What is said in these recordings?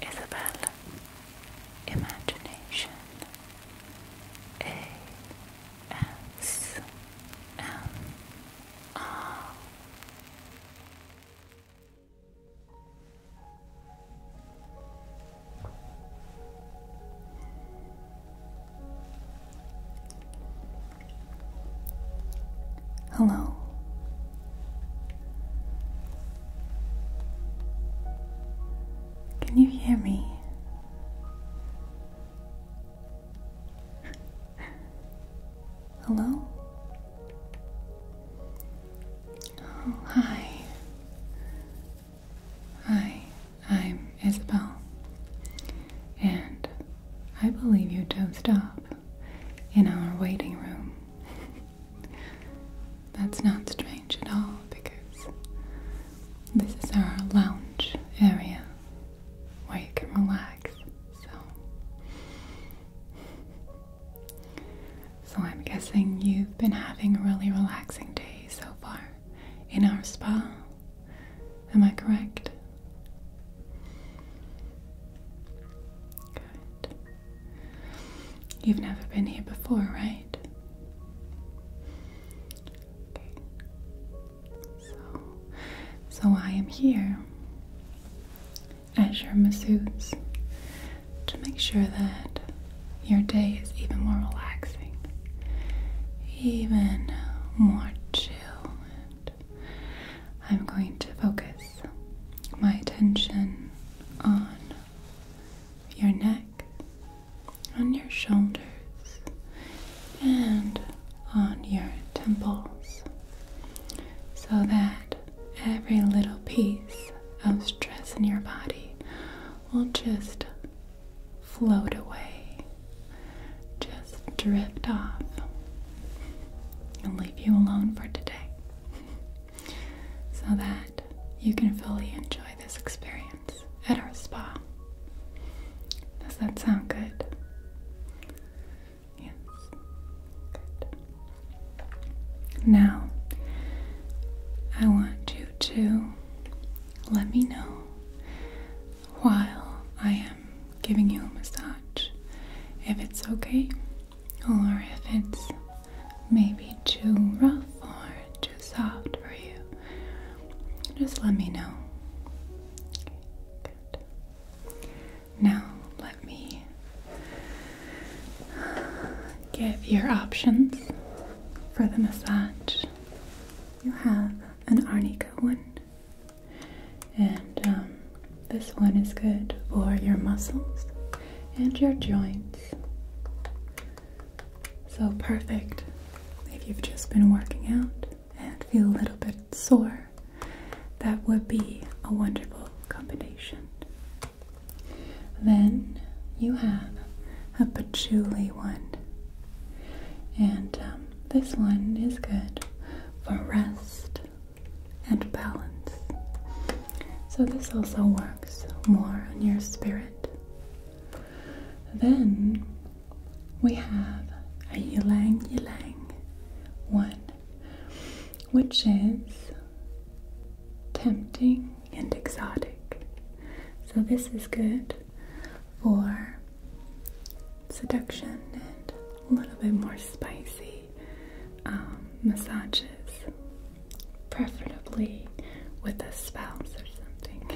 Isabel Imagination A S M R Hello. Can you hear me? Hello? Oh, hi. Hi, I'm Isabel. And I believe you dozed off in our waiting room. That's not strange at all because this is our lounge area where you can relax. So, so I'm guessing you've been having a really relaxing day so far in our spa. Am I correct? You've never been here before, right? So, I am here as your masseuse to make sure that your day is even more relaxing, even more chill I'm going to focus my attention on your neck, on your shoulders, and on your temples so that every little piece of stress in your body will just float away, just drift off you alone for today so that you can fully enjoy this experience at our spa. Does that sound good? Yes. Good. Now, I want you to let me know while I am giving you a massage. If it's okay, or if it's maybe too rough or too soft for you, just let me know. Now, let me give your options for the massage. You have an Arnica one, and um, this one is good for your muscles and your joints. So perfect if you've just been working out and feel a little bit sore. That would be a wonderful combination. Then you have a patchouli one, and um, this one is good for rest and balance. So, this also works more on your spirit. Then we have a ylang ylang one, which is tempting and exotic. So, this is good for seduction and a little bit more spicy um, massages, preferably with a spouse or something.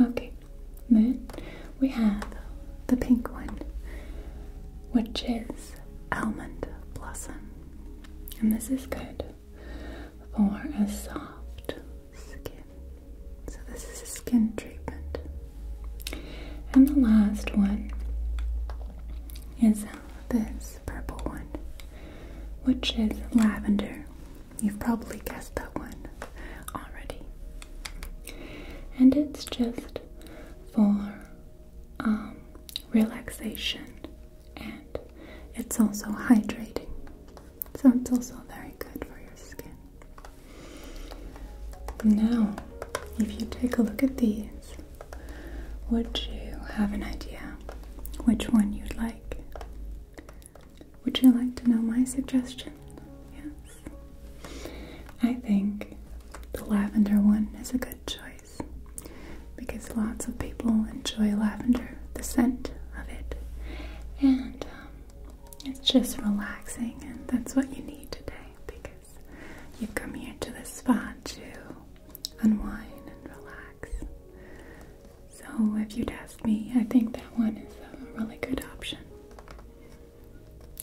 Okay, then we have the pink one, which is almond blossom, and this is good for a soft skin. So, this is a skin and the last one is this purple one, which is lavender. You've probably guessed that one already. And it's just for um, relaxation and it's also hydrating. So it's also very good for your skin. Now, if you take a look at these, would you have an idea which one you'd like? Would you like to know my suggestion? Yes. I think the lavender one is a good choice because lots of people enjoy lavender, the scent of it, and um, it's just relaxing, and that's what you need today because You've come here to the spa to unwind and relax. So, if you'd ask me, I think that one is a really good option.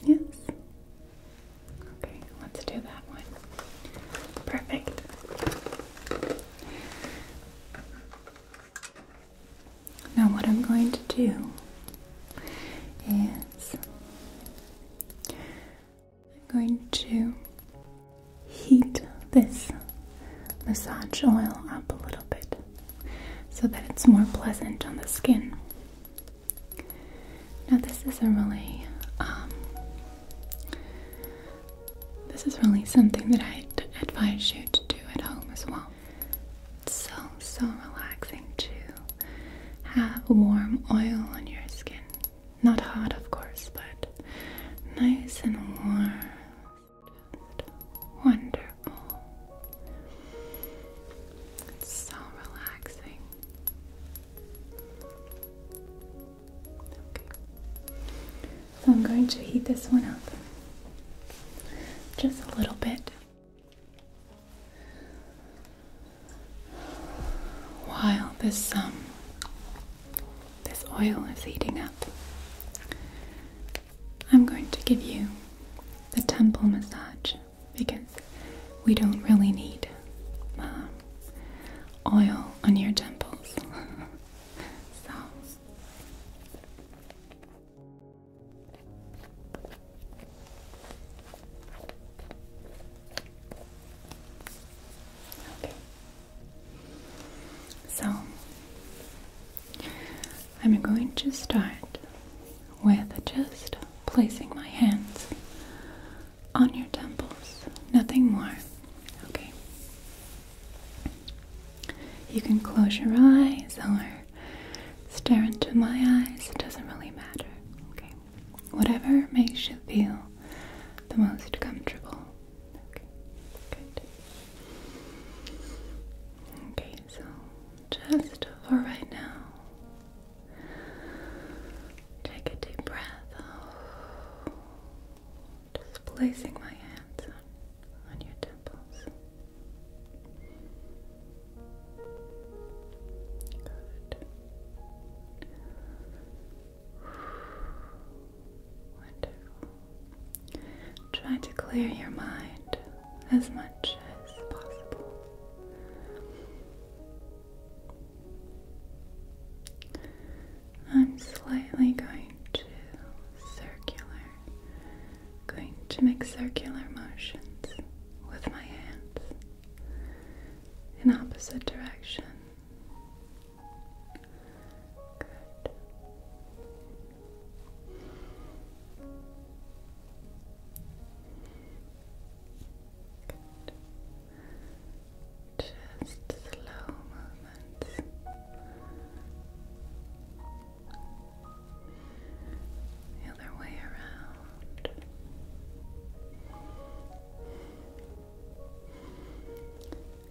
Yes. Okay, let's do that one. Perfect. Now, what I'm going to do is I'm going to heat this massage oil up a little bit so that it's more pleasant on the skin. Now this is a really um, this is really something that I'd advise you to do at home as well. It's so so relaxing too have warm oil on your skin. Not hot, of course, but nice and warm. wonderful. It's so relaxing. So I'm going to heat this one up just a little bit. While this um this oil is heating up, I'm going to give you the temple massage because we don't really need uh, oil on your temples. so so I'm going to start with just placing my hands on your temples, nothing more. Okay. You can close your eyes or stare into my eyes, it doesn't really matter. Okay. Whatever makes you feel the most comfortable. Okay. so just for right now. Take a deep breath. Just placing my hands on your temples. Try to clear your mind as much as possible. I'm slightly going to circular, going to make circular motions with my hands in opposite direction. Good. Just slow movements the other way around.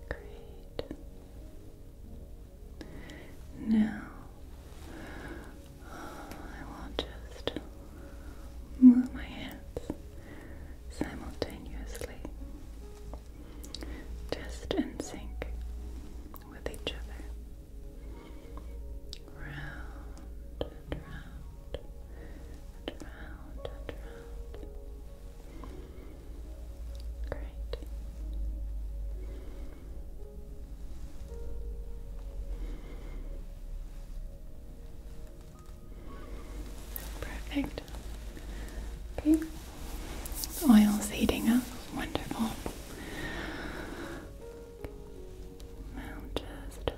Great. Now, I will just move my hands simultaneously, just in sync with each other round round round round. Great. Perfect. Okay. The oil's heating up. Wonderful. Now just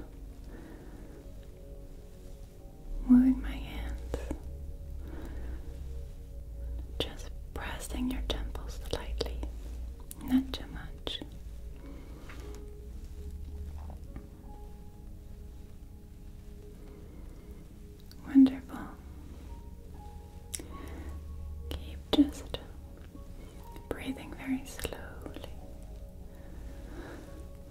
moving my hands, just pressing your temples lightly, not too much. Wonderful. Keep just breathing very slowly. And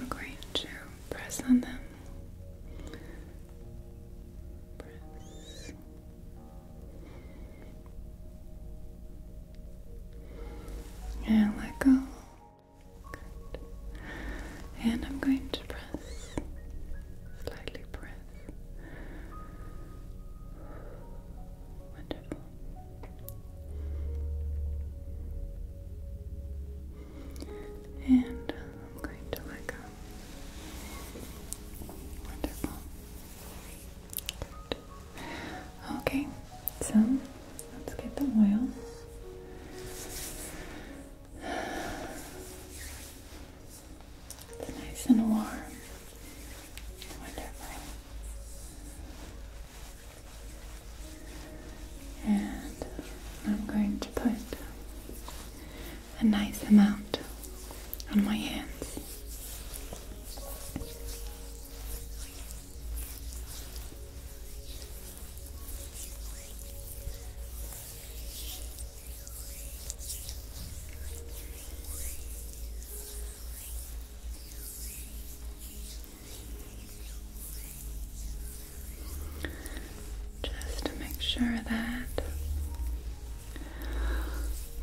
I'm going to press on them. Press. And let go. Good. And I'm going to press slightly press. Wonderful. And I'm going to let go. Wonderful. Good. Okay, so let's get the oil. It's nice and warm. Wonderful. And I'm going to put a nice amount on my hands. Just to make sure that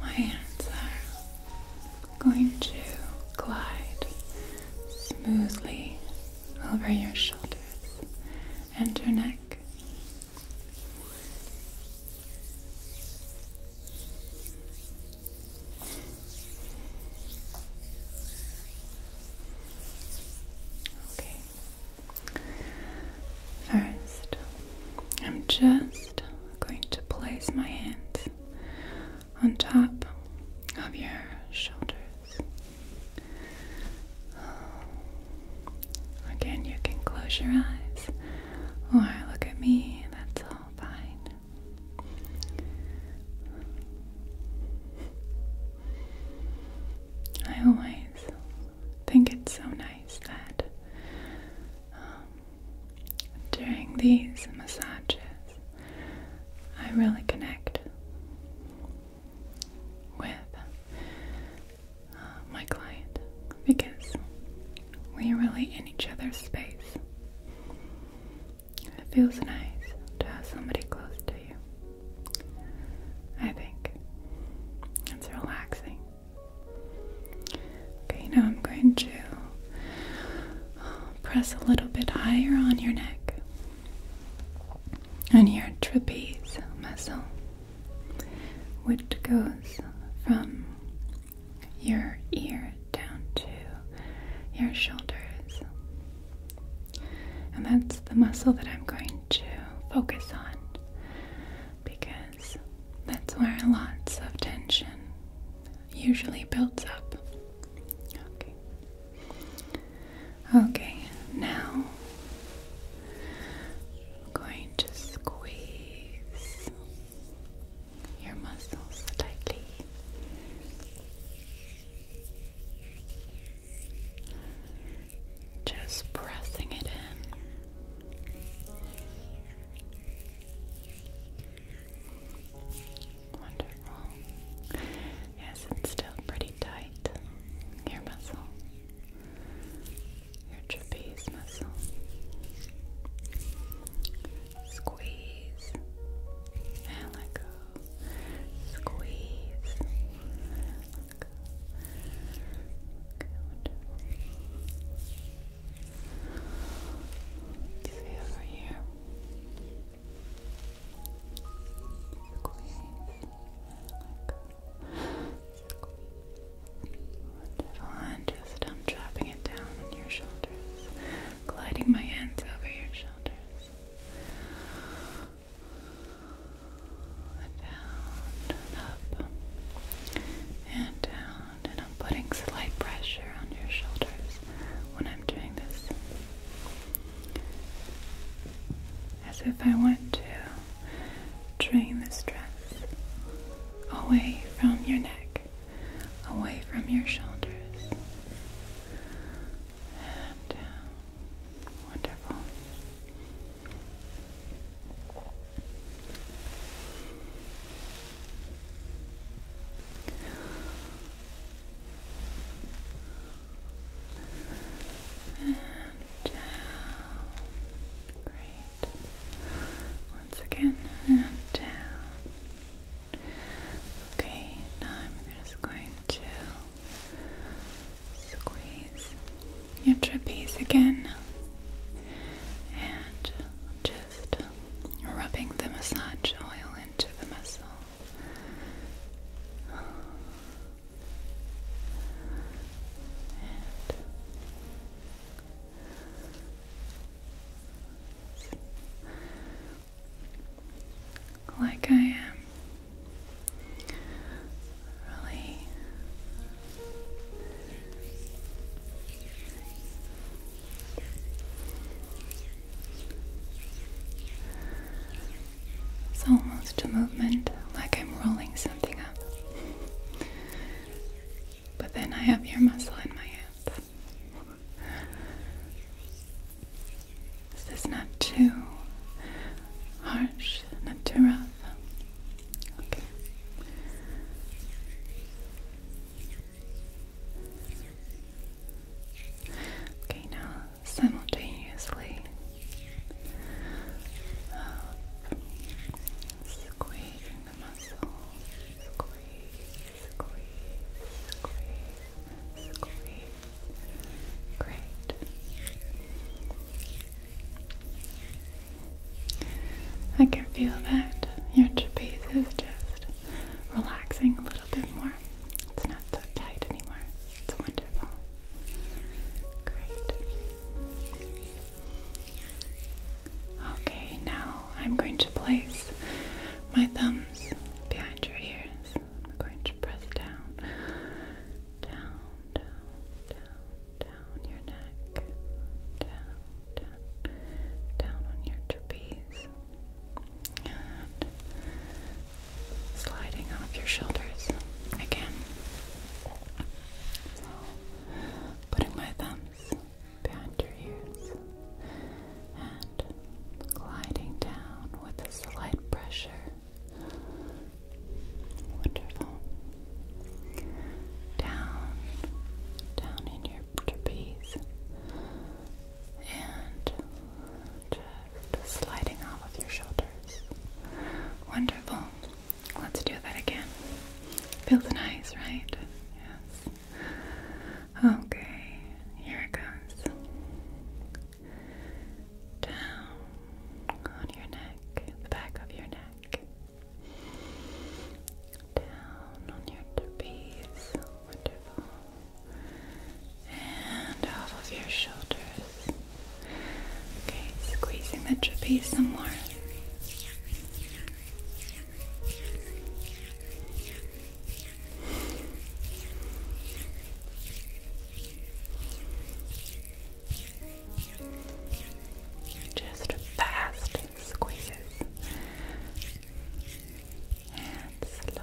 my hands are going to glide smoothly over your shoulders and your neck neck. Okay. First, I'm just going to place my hands on top of your shoulders. Again, you can close your eyes or look at me, that's all fine. I always think it's so nice that um, during these massages, I really connect with uh, my client because we're really in each other's space. It feels nice to have somebody close to you. I think it's relaxing. Okay, now I'm going to uh, press a little bit higher on your neck and your trapeze muscle, which goes from your ear down to your shoulders. And that's the muscle that I'm going to focus on because that's where lots of tension usually builds up. Okay, now I'm going to squeeze your muscles tightly. Just pressing it in. Wonderful. Yes, it's still pretty tight. Your muscle, your trapeze muscle. Squeeze and let go. Squeeze. Let go. Good. See over here. Wonderful. just um, i it down on your shoulders, gliding my hands over your shoulders. And up and down, and I'm putting slight pressure on your shoulders when I'm doing this as if I want to drain the stress away from your neck, away from your shoulders. And uh, wonderful and down. Great. Once again, and down. Okay, now I'm just going to squeeze your trapeze again and just rubbing the massage oil into the muscle like I am really it's almost a movement like I'm rolling something up. but then I have your muscle in my hands. Is not too harsh? Not too rough? Okay. Okay, now simultaneously. squeezing the muscle, squeeze, squeeze, squeeze, squeeze. Great. I can feel that your trapeze is just relaxing a little bit more. It's not so tight anymore. It's wonderful. Great. Okay, now I'm going to place my thumbs behind your ears. I'm going to press down, down, down, down, down your neck, down, down, down on your trapeze, sliding off your shoulders again. putting my thumbs behind your ears and gliding down with a slight pressure. Wonderful. Down, down in your trapeze, and sliding off of your shoulders. Wonderful. Let's do that again. Feels nice, right? Yes. Okay, here it goes. Down on your neck, the back of your neck. Down on your trapeze. Wonderful and off of your shoulders. Okay, squeezing the trapeze some more. Just fast squeezes and slow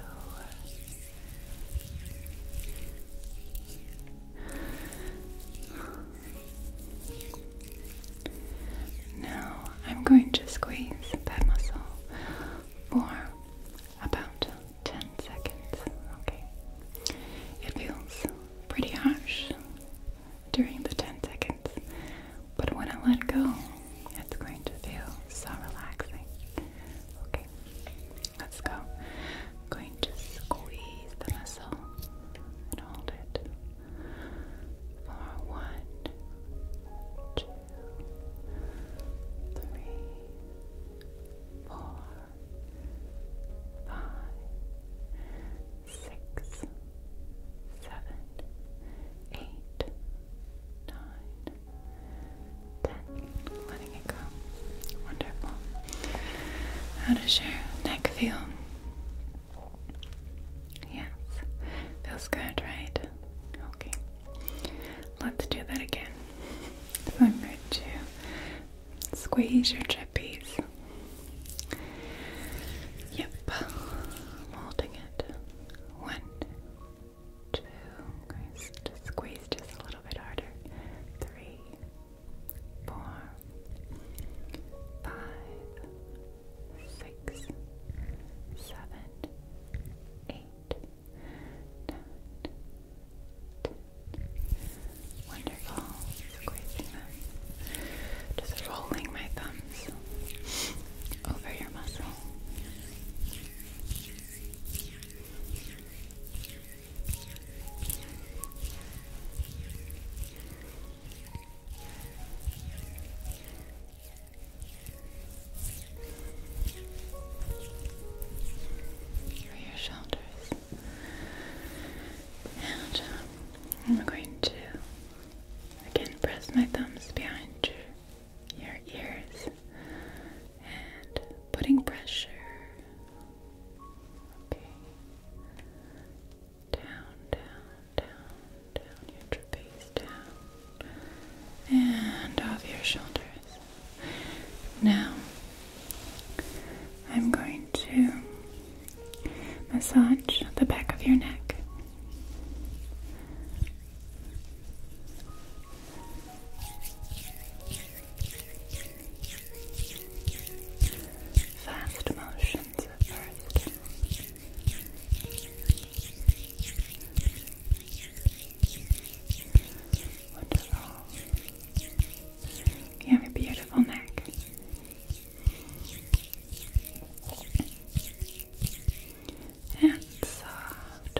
now I'm going to squeeze that muscle for about 10 seconds. Okay. It feels pretty harsh during the 10 seconds, but when I let go, it's going to feel so relaxing. Okay. Let's go. going to squeeze the muscle and hold it for one, two, three, four, five, six, seven, eight, nine, Letting it go. Wonderful. How does your neck feel? Yes. Feels good, right? Okay. Let's do that again. I'm going to squeeze your chippies. Yep. Molding it. One, two, just squeeze just a little bit harder, three, four, five, six, seven, eight, nine, ten. Wonderful, squeezing them, just rolling my thumbs over your muscle. Over your shoulders, and um, I'm going to again press my thumbs behind your ears and putting pressure okay down down down down your trapeze down and off your shoulders now I'm going to massage the back of your neck Fast motions at first. You have a beautiful neck. And soft.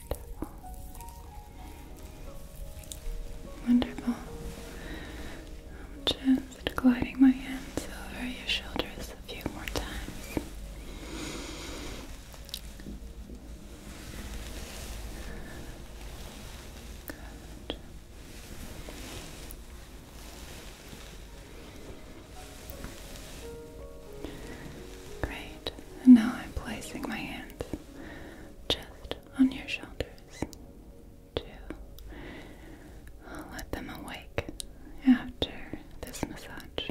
Wonderful. I'm just gliding my hands over your shoulders a few more times. Good. Great. And now I'm placing my hands just on your shoulders to let them awake after this massage.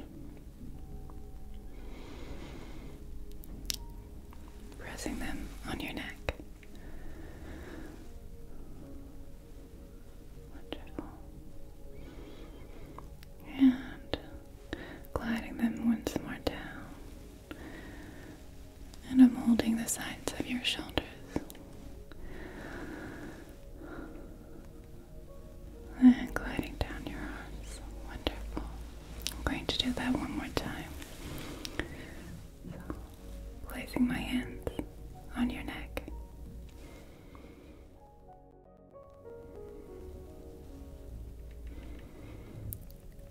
Pressing them on your neck. And gliding them once more down and I'm holding the sides of your shoulders. And gliding down your arms. Wonderful. I'm going to do that one more time. placing my hands on your neck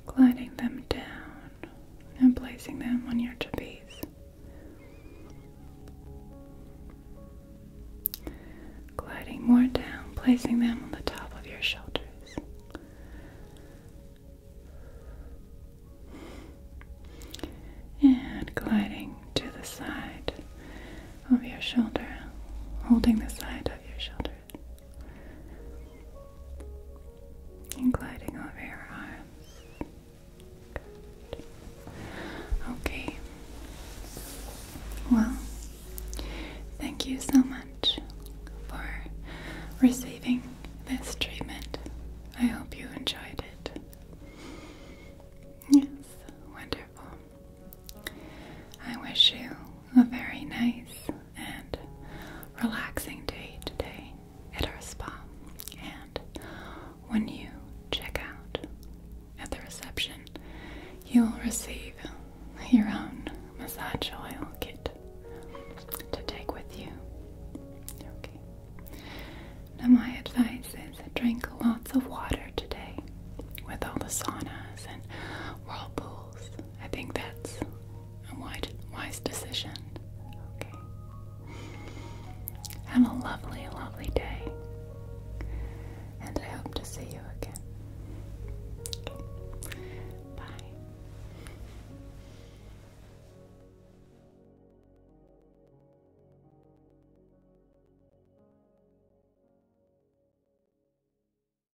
gliding them down and placing them on your trapeze. Gliding more down, placing them on the top of your shoulders. And gliding to the side of your shoulder, holding the side of your shoulder and gliding over your arms. Okay. Well, thank you so much for receiving this treatment. I hope you enjoyed it. Yes, wonderful. I wish you a very nice and relaxing day today at our spa. And when you check out at the reception, you will receive your own massage oil kit to take with you. Now, my advice is drink lots of water today with all the saunas and whirlpools. I think that's a wise, wise decision. Okay. Have a lovely, lovely day. And I hope to see you again. Bye.